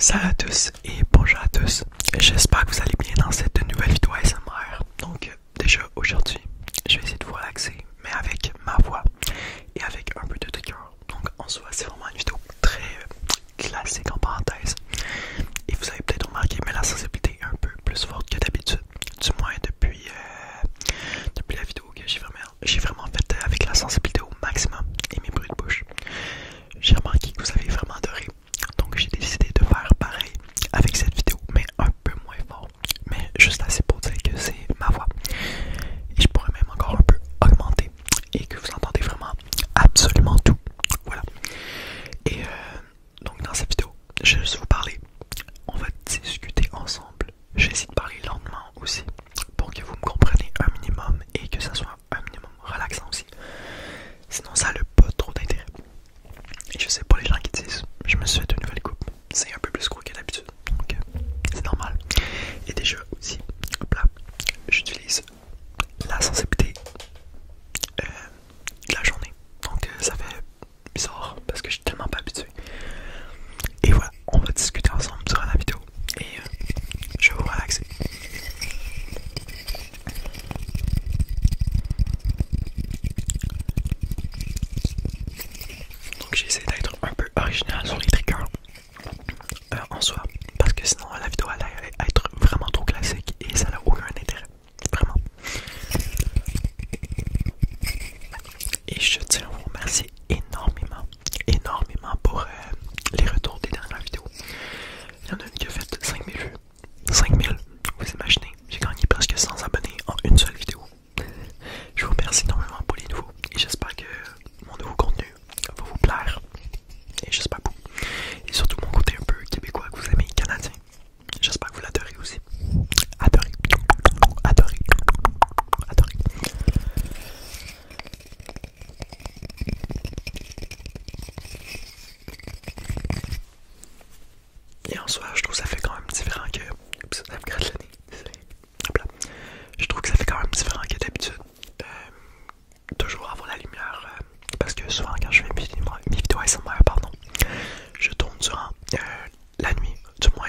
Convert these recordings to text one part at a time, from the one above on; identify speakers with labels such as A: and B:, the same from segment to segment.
A: Salut à tous et bonjour à tous. J'espère que vous allez bien dans cette nouvelle vidéo SMR. Donc euh, déjà aujourd'hui, je vais essayer de vous relaxer, mais avec ma voix et avec un peu de trigger. Donc en soit, c'est vraiment une vidéo très euh, classique en parenthèse. Et vous avez peut-être remarqué, mais la sensibilité est un peu plus forte que d'habitude. Du moins depuis, euh, la vidéo que j'ai vraiment, vraiment faite avec la sensibilité au maximum et mes bruits de bouche j'ai remarqué que vous avez vraiment adoré. Donc j'ai décidé de faire pareil avec cette vidéo, mais un peu moins fort. Mais juste assez pour dire que c'est ma voix. Et je pourrais même encore un peu augmenter et que vous entendez vraiment absolument tout. Voilà. Et euh, donc dans cette vidéo, je vais vous parler. On va discuter ensemble. J'essaie de parler lentement aussi pour que vous me compreniez un minimum et que ça soit un minimum relaxant aussi. Sinon, ça n'a pas trop d'intérêt. Et je sais pas les gens qui disent, je me suis fait une nouvelle coupe. C'est un peu plus gros que d'habitude, donc euh, c'est normal. Et déjà aussi, hop là, j'utilise la sensibilité euh, de la journée. Donc euh, ça fait bizarre parce que je suis tellement pas habitué. Et voilà on va discuter ensemble durant la vidéo et euh, je vais vous relaxer. Donc j'ai essayé d'être un peu original sur les triggers euh, en soi parce que sinon la vidéo allait être vraiment trop classique et ça n'a aucun intérêt. Vraiment. Et je tiens à vous remercier énormément, énormément pour euh, les retours des dernières vidéos. Il y en a une qui a fait 5000 vues. 5000, vous imaginez, j'ai gagné presque 100 abonnés en une seule vidéo. Je vous remercie énormément pour les nouveaux et j'espère que mon nouveau contenu va vous plaire. Et j'espère beaucoup. Et surtout mon côté un peu québécois que vous aimez, canadien. J'espère que vous l'adorez aussi. Adorez. Adorez. Adorez. Et en soi, je trouve que ça fait quand même différent que. Je trouve que ça fait quand même différent que d'habitude. Euh, toujours avoir la lumière. Euh, parce que souvent, quand je fais mes vidéos ASMR, pardon, je tourne durant euh, la nuit. Du moins,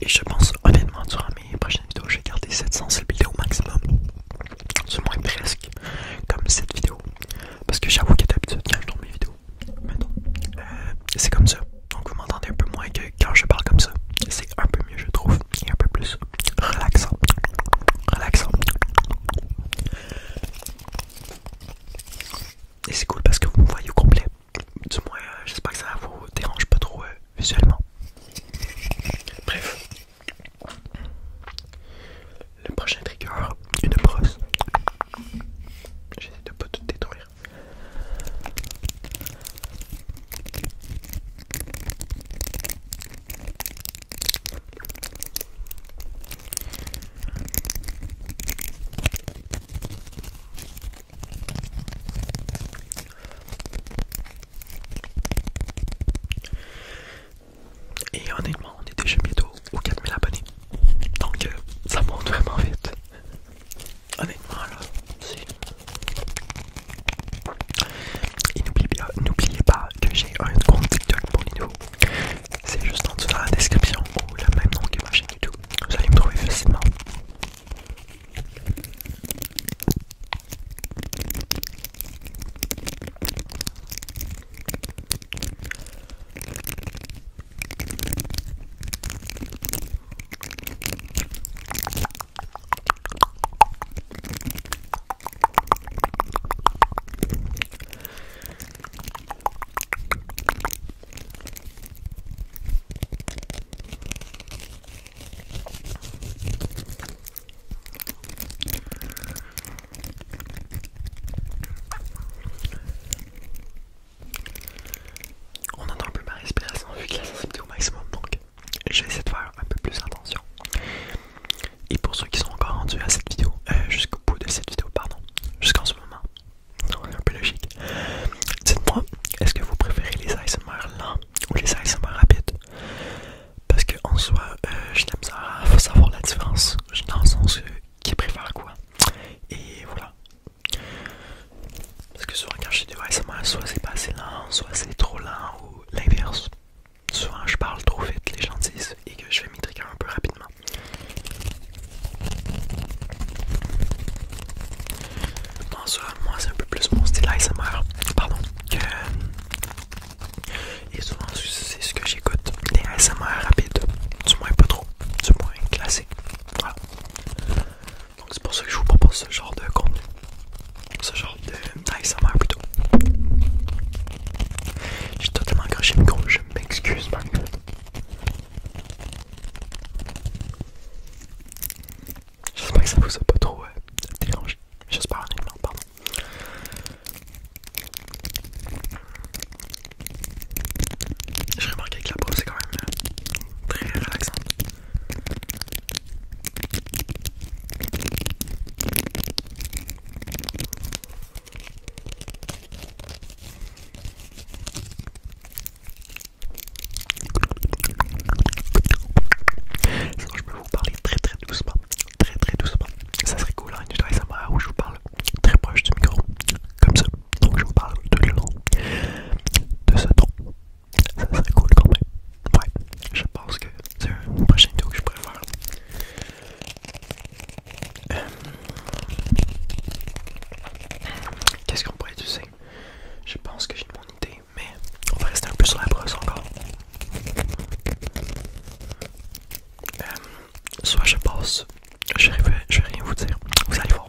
A: Et je pense honnêtement sur mes prochaines vidéos, je vais garder cette sensibilité au maximum. Du moins presque comme cette vidéo. Parce que j'avoue que d'habitude quand je tourne mes vidéos, euh, c'est comme ça. Donc vous m'entendez un peu moins que quand je parle comme ça. C'est un peu mieux je trouve. Et un peu plus relaxant. Relaxant et c'est cool parce que vous me voyez au complet. Du moins, euh, j'espère que ça vous dérange pas trop euh, visuellement. Bref, le prochain trigger, une brosse. J'essaie de pas tout détruire. Et honnêtement, on est déjà bientôt aux 4000 abonnés. Donc euh, ça monte vraiment vite. Honnêtement là, Et n'oubliez pas, que j'ai un compte TikTok pour les nouveaux c'est juste en dessous dans la description ou la même nom que ma chaîne YouTube. Vous allez me trouver facilement. On entend plus ma respiration vu que la sensibilité au maximum donc je vais essayer de faire un peu plus attention et pour ceux qui sont encore rendus à cette vidéo, euh, jusqu'au bout de cette vidéo, pardon, jusqu'en ce moment, c'est un peu logique. Dites-moi, est-ce que vous préférez les ASMR lents ou les ASMR rapides Parce que en soi, euh, je n'aime pas faut savoir la différence dans le sens qui préfère quoi. Et voilà. Parce que souvent quand je suis des ASMR, soit c'est pas assez lent, soit c'est trop lent ou l'inverse. Souvent je parle trop vite, les gens disent, et que je vais mes un peu rapidement. Bon, ça, moi c'est un peu plus mon style ASMR, pardon, que... Et souvent c'est ce que j'écoute, les ASMR rapides, du moins pas trop, du moins classique, voilà. Donc c'est pour ça que je vous propose ce genre de contenu, ce genre de ASMR plutôt. J'ai totalement accroché le micro, je m'excuse tout. J'espère que ça vous a pas trop euh, dérangé. J'espère honnêtement, pardon. J'ai remarqué que la pause c'est quand même euh, très relaxante. Sinon je peux vous parler très très doucement, très très doucement. Ça serait cool, hein, ça ASMR où je vous parle très proche du micro, comme ça. Donc je vous parle de le long, de ce ton. Ça serait cool quand même. Ouais, je pense que c'est une prochaine vidéo que je pourrais faire. Euh, qu'est-ce qu'on pourrait utiliser Je pense que j'ai bonne idée, mais on va rester un peu sur la brosse encore. Euh, soit je passe, je vais rien vous dire, vous allez voir.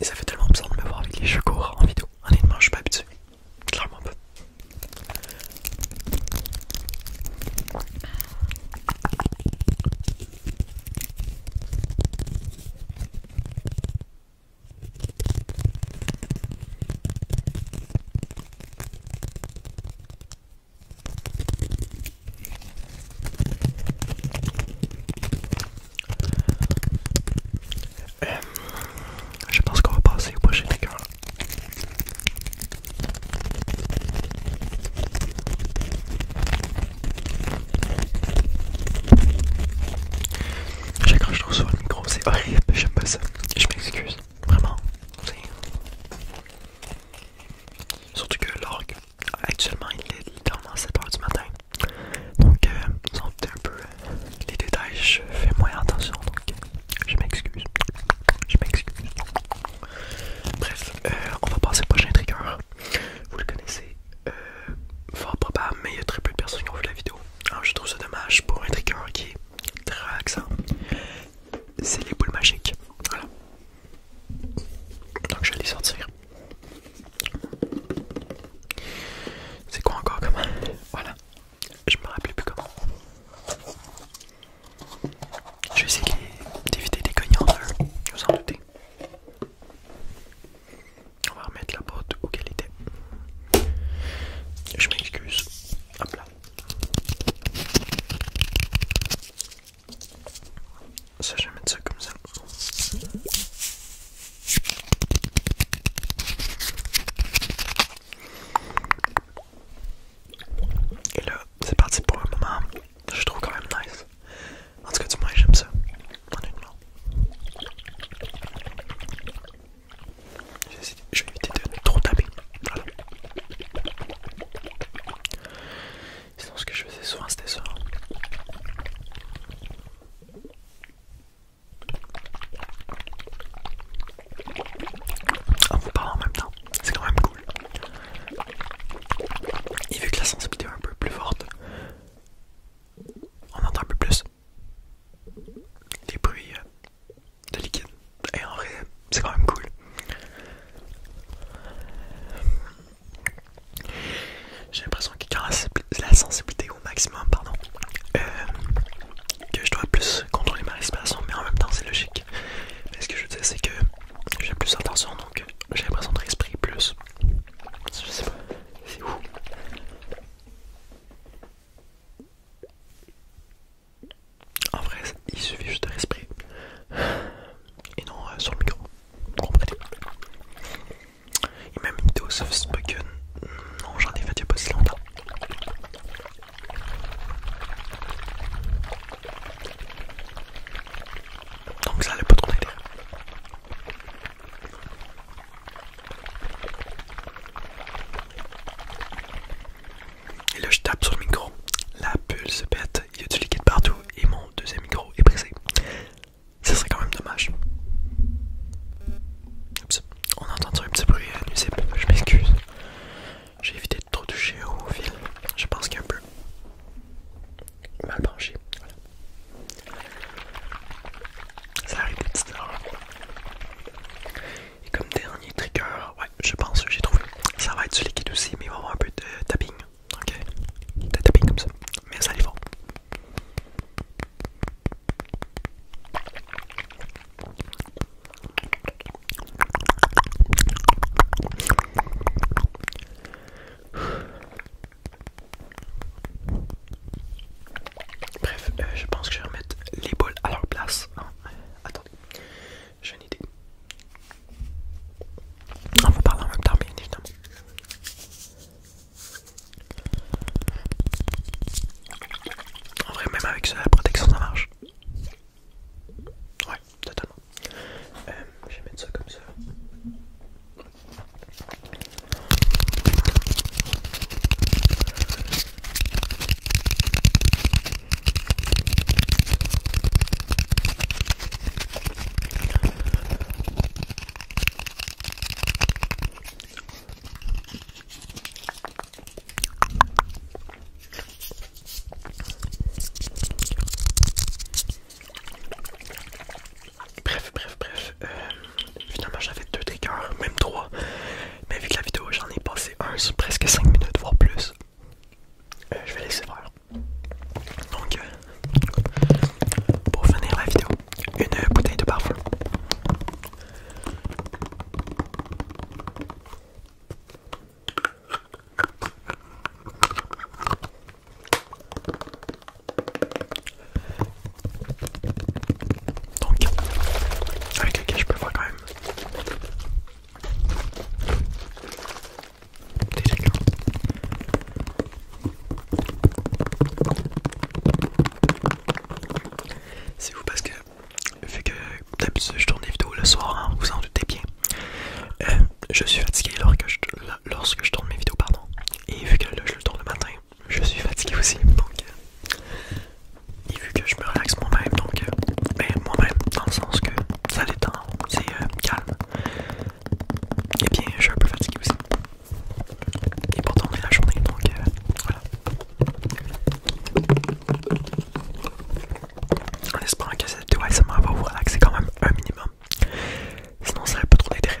A: ça fait tellement besoin de me voir avec les jeux courts en vidéo. Honnêtement, je suis pas habitué clairement euh, je pense qu'on va passer au prochain décor. J'accroche trop sur le micro, c'est horrible, j'aime pas ça. Je m'excuse, vraiment. Surtout que l'orgue, actuellement, il est littéralement 7h du matin. Donc, c'est euh, ils ont un peu euh, les détails, je fais moins attention donc je m'excuse. Je m'excuse. Bref, euh, on va passer au prochain trigger. Vous le connaissez, euh, fort probable, mais il y a très peu de personnes qui ont vu la vidéo. je trouve ça dommage pour un trigger qui est très relaxant. C'est les boules magiques. Voilà. Donc, je vais les sortir. C'est quoi encore comment Voilà. Je me rappelle plus comment. Je vais essayer d'éviter des cognants, vous en doutez. On va remettre la boîte où elle était. Je m'excuse. Hop là. Ça, je vais mettre ça comme ça. Et là, c'est parti pour le moment, je trouve quand même nice. En tout cas, du moins, j'aime ça. Honnêtement. Je vais éviter de trop taper. Voilà. Sinon, ce que je faisais souvent, c'était ça. En ah, vous parlant en même temps, c'est quand même cool. Et vu que la sensibilité est un peu plus forte, on entend un peu plus Des bruits euh, de liquide. Et en vrai, c'est quand même cool j'ai l'impression que quand la sensibilité au maximum, pardon, euh, que je dois plus contrôler ma respiration, mais en même temps c'est logique. Mais ce que je veux c'est que j'ai plus attention, donc j'ai l'impression de respirer plus. Je sais pas, c'est où En vrai, il suffit juste de respirer et non euh, sur le micro. Et même une dose of spoken. Non, j'en ai fait il n'y a pas si longtemps. Donc ça allait pas trop aider. Et là je tape sur le micro, la bulle se pète, il y a du liquide partout et mon deuxième micro est brisé. Ce serait quand même dommage. On a entendu un petit bruit euh, nuisible, je m'excuse. J'ai évité de trop toucher au fil. Je pense qu'il y a un peu mal branché. Voilà. Ça arrive tout Et comme dernier trigger, ouais, je pense que j'ai trouvé. Ça va être du liquide aussi, mais il va y avoir un peu de tapping. Ok? De tapping comme ça. Mais ça les va. Bref, euh, je pense que je vais remettre les bols à leur place. Non, hein. attendez, j'ai une idée. On va parler en même temps, bien évidemment. En vrai, même avec ça, la protection, ça marche. Ouais, totalement. Euh, je vais mettre ça comme ça. Bref, bref, bref. Euh, finalement, j'avais deux triggers, même trois. Mais vu que la vidéo, j'en ai passé un sur presque 5 minutes, voire plus. Euh, je vais laisser voir. Donc, euh, pour finir la vidéo, une bouteille de parfum. Donc, avec lequel je peux voir quand même c'est vous parce que vu que d'habitude je tourne des vidéos le soir, hein, vous en doutez bien. Euh, je suis fatigué lorsque je, lorsque je tourne mes vidéos, Et vu que je le tourne le matin, je suis fatigué aussi. Donc, euh, et vu que je me relaxe moi-même, donc, euh, ben, moi-même, dans le sens que ça détend, c'est calme. Et eh bien, je suis un peu fatigué aussi. Et pourtant, on est la journée, donc euh, voilà. En espérant que cette vidéo ASMR va vous relaxer quand même un minimum. Sinon, ça un pas trop d'intérêt.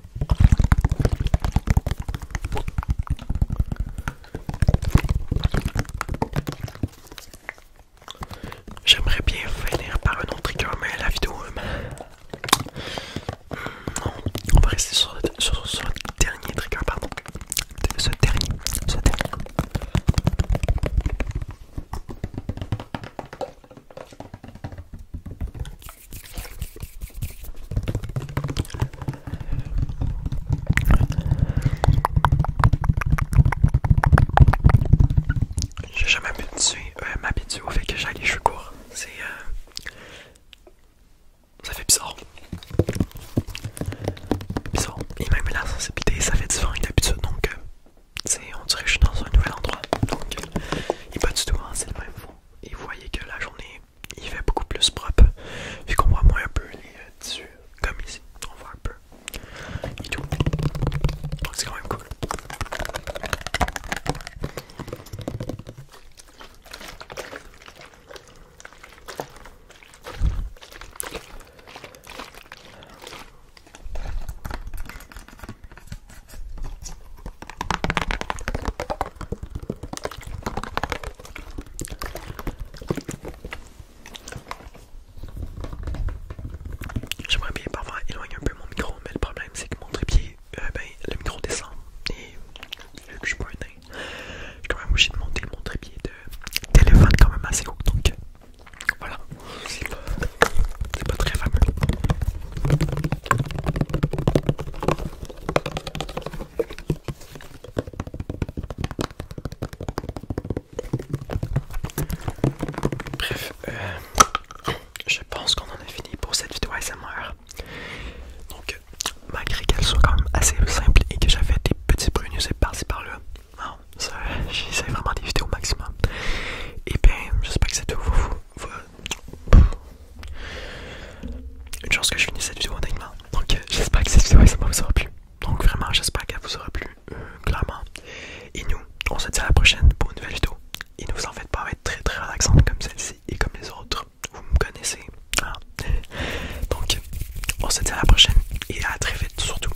A: J'aimerais bien finir par un autre trigger, mais la vidéo. Euh, hmm, non, on va rester sur, le dernier trigger, pardon. Ce dernier, ce dernier. J'ai jamais habitué, euh, au fait que j'aille les cheveux courts. C'est. Euh, ça fait bizarre. Bizarre. Et même la sensibilité, ça fait différent d'habitude. Donc, euh, on dirait que je suis dans un nouvel endroit. Donc, euh, il pas du tout, hein, c'est le même fond. Et vous voyez que la journée il fait beaucoup plus propre vu qu'on voit moins un peu les tissus euh, comme ici on voit un peu et tout c'est quand même cool J'aimerais bien parfois éloigner un peu mon micro, mais le problème c'est que mon trépied, euh, ben, le micro descend. Et que je suis je quand même obligé de monter mon trépied de téléphone quand même assez haut. Donc voilà, c'est pas, pas très fameux. Bref, euh, je pense qu'on en a fini pour cette vidéo ASMR. Donc, malgré qu'elle soit quand même assez simple et que j'avais des petits brunes par-ci par-là, non, j'essaie vraiment des vidéos au maximum. Et eh bien, j'espère que c'est tout vous, une chance que je finisse cette vidéo en main. Donc euh, j'espère que cette vidéo ça vous aura plu. Donc vraiment j'espère qu'elle vous aura plu euh, clairement. Et nous, on se dit à la prochaine pour une nouvelle vidéo. Et ne vous en faites pas, être très très relaxante comme celle-ci et comme les autres. Vous me connaissez. Hein. Donc on se dit à la prochaine et à très vite surtout.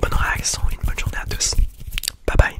A: Bonne réaction et une bonne journée à tous. Bye bye.